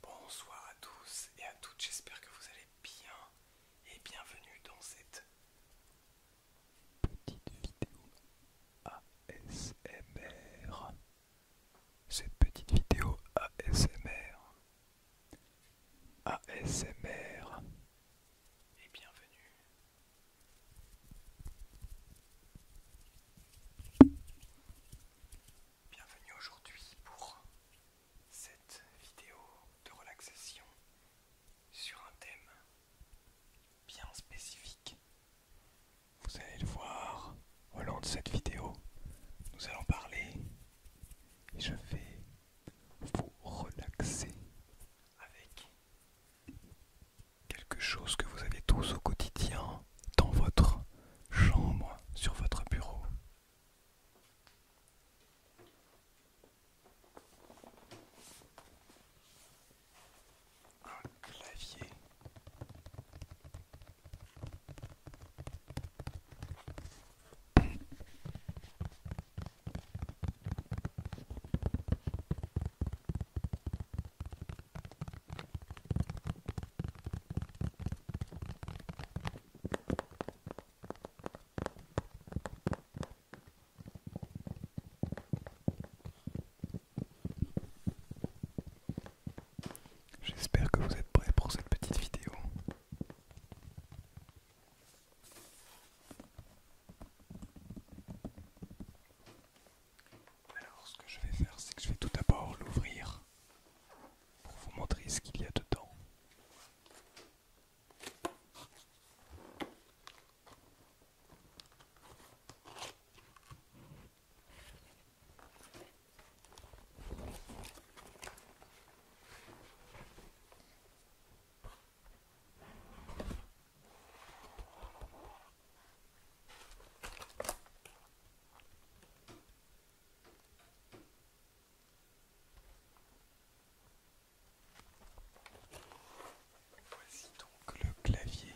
Bonsoir à tous et à toutes, j'espère que vous allez bien et bienvenue dans cette petite vidéo ASMR. Cette petite vidéo ASMR. ASMR. Et bienvenue Bienvenue aujourd'hui pour cette vidéo de relaxation sur un thème bien spécifique. Vous allez le voir au long de cette vidéo. Nous allons parler et je vais vous relaxer avec quelque chose que vous avez tous au quotidien dans votre chambre, sur votre bureau. clavier. J'espère que vous êtes prêts pour cette petite vidéo. Alors ce que je vais faire, c'est que je vais tout d'abord l'ouvrir pour vous montrer ce qu'il y a dedans. Voici donc le clavier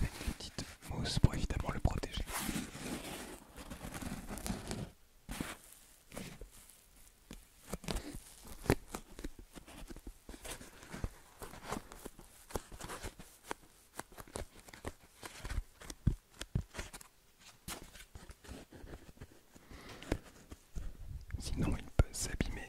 une petite mousse pour évidemment le protéger. Sinon il peut s'abîmer.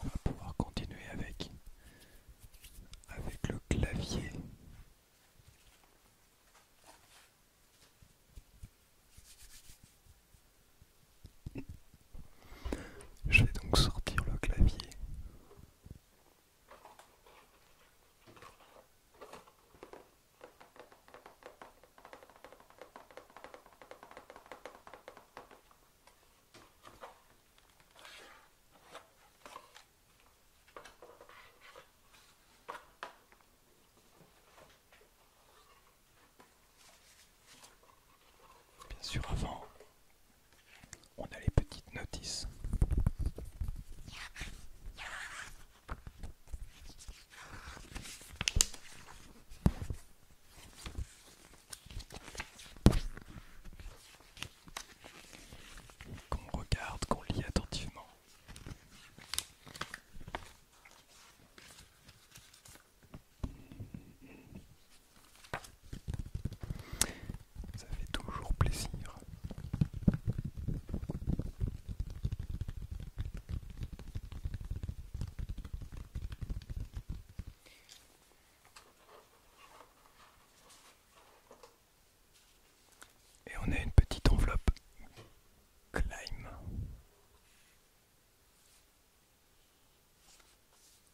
On va pouvoir continuer avec, avec le clavier je vais donc sortir le clavier. Bien sûr, avant, on a les petites notices qu'on regarde, qu'on lit attentivement. Ça fait toujours plaisir. Et on a une petite enveloppe Climb.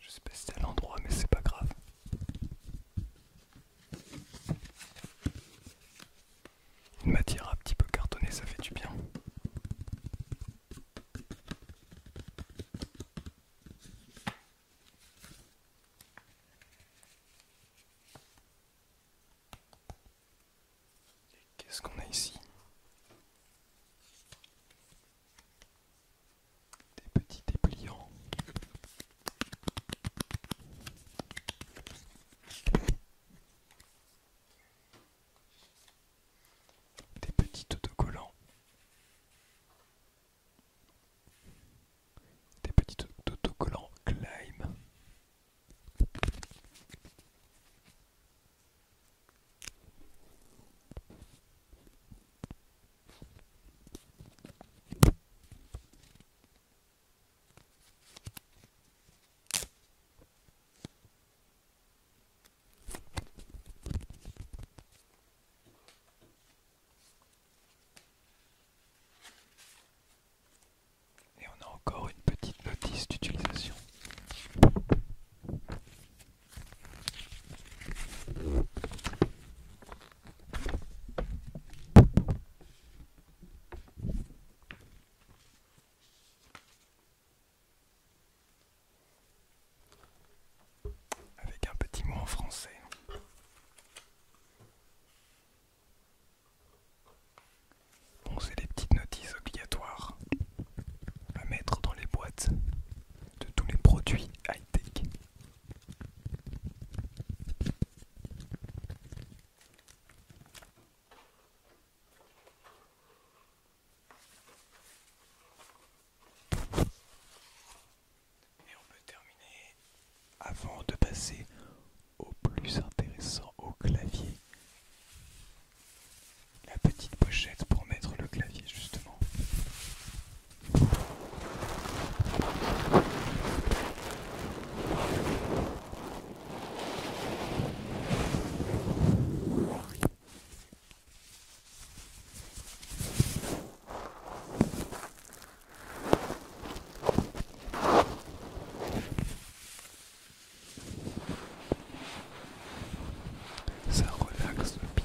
Je sais pas si c'est à l'endroit, mais c'est pas grave. Une matière un petit peu cartonnée, ça fait du bien. Qu'est-ce qu'on a ici Des petits dépliants. Des petits autocollants. Des petits autocollants Climb. Et on a encore une petite notice d'utilisation. Avec un petit mot en français. Bon, c'est les petites notices obligatoires à mettre dans les boîtes de tous les produits high-tech. Et on peut terminer avant de passer au plus intéressant au clavier. La petite pochette pour mettre le clavier justement. Ça relaxe bien.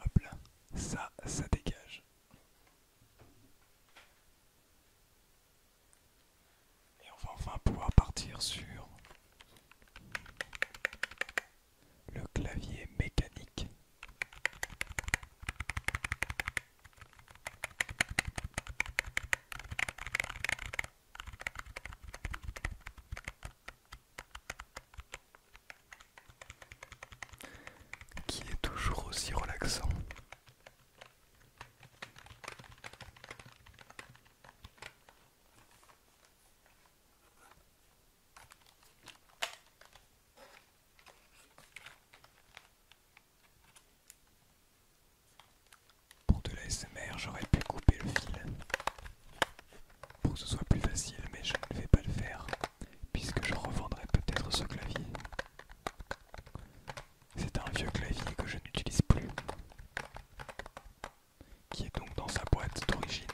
Hop là, ça, ça dégage. Et on va enfin pouvoir partir sur le clavier mécanique qui est toujours aussi relaxant. Pour de la j'aurais pu couper le fil pour que ce soit plus facile, mais je ne vais pas le faire puisque je revendrai peut-être ce clavier. C'est un vieux clavier que je n'utilise plus, qui est donc dans sa boîte d'origine.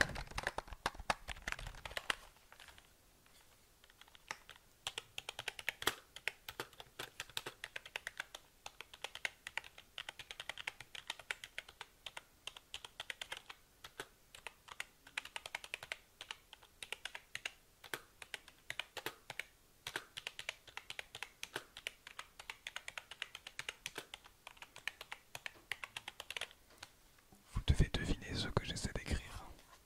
Vous devez deviner ce que j'essaie d'écrire.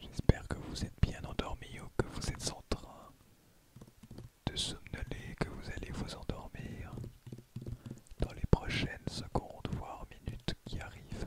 J'espère que vous êtes bien endormi ou que vous êtes en train de somnoler, que vous allez vous endormir dans les prochaines secondes, voire minutes qui arrivent.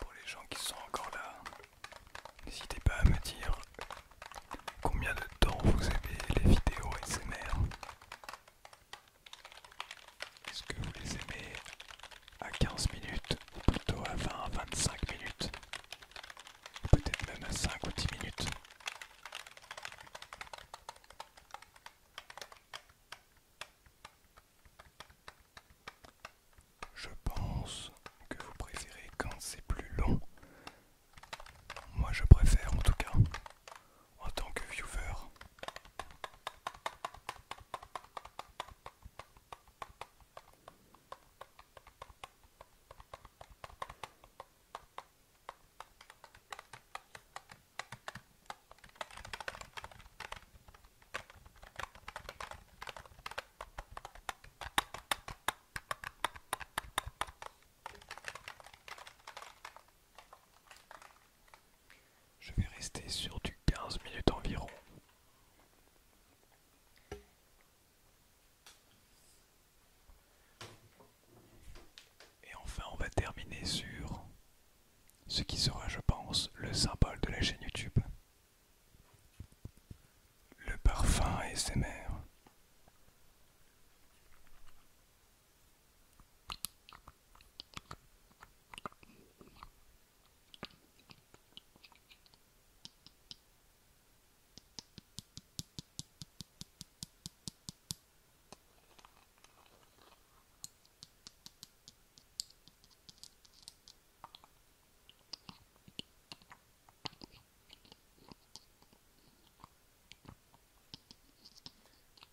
Pour les gens qui sont encore là, n'hésitez pas à me dire combien de temps vous aimez les vidéos SMR. Est-ce que vous les aimez à 15 minutes ou plutôt à 20-25 minutes Peut-être même à 5 ou 10 minutes. Je pense que vous préférez quand c'est plus long. Moi je préfère en tout cas en tant que viewer. Je vais rester sur du 15 minutes environ. Et enfin, on va terminer sur ce qui sera, je pense, le symbole de la chaîne YouTube. Le parfum ASMR.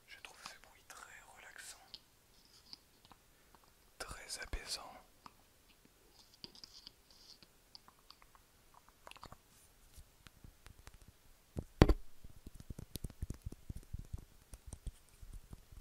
Je trouve ce bruit très relaxant, très apaisant.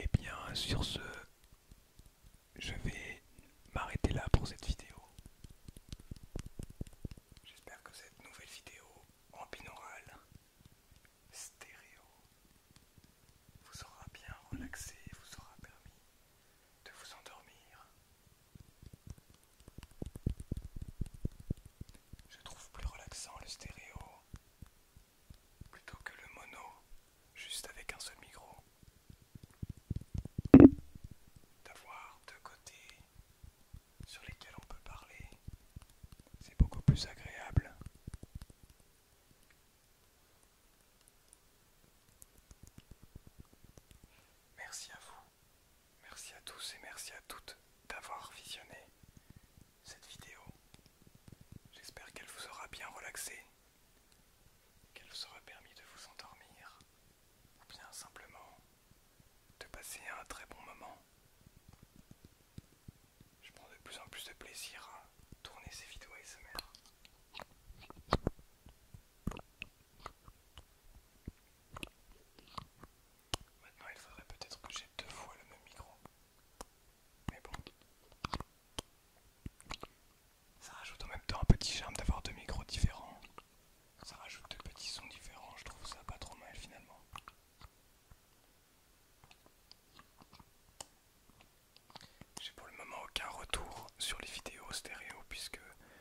Et eh bien sur ce, je vais m'arrêter là pour cette vidéo. J'espère que cette nouvelle vidéo en binaural stéréo vous aura bien relaxé, vous aura permis de vous endormir. Je trouve plus relaxant le stéréo plutôt que le mono, juste avec un seul micro. D'avoir deux côtés sur lesquels on peut parler, c'est beaucoup plus agréable. Merci à vous, merci à tous et merci à toutes d'avoir visionné cette vidéo. J'espère qu'elle vous aura bien relaxé, qu'elle vous aura permis de vous endormir ou bien simplement de passer un très bon moment. Je prends de plus en plus de plaisir à tourner ces vidéos ASMR. Maintenant, il faudrait peut-être que j'ai deux fois le même micro. Mais bon. Ça rajoute en même temps un petit charme d'avoir deux micros différents. Ça rajoute deux petits sons différents, je trouve ça pas trop mal finalement. J'ai pour le moment aucun retour sur les vidéos stéréo puisque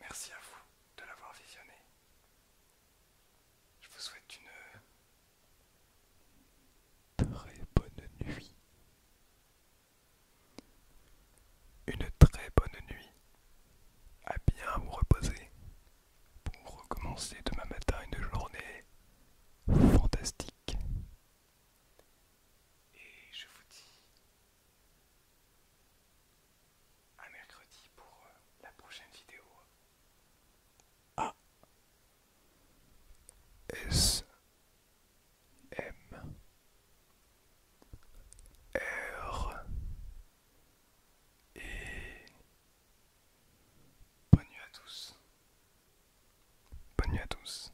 Merci à vous de l'avoir visionné. Je vous souhaite une euh, très bonne nuit. Une très bonne nuit. À bien vous reposer pour recommencer demain matin une journée fantastique. Et je vous dis un mercredi pour euh, la prochaine vidéo. A S M R et bonne nuit à tous. Bonne nuit à tous.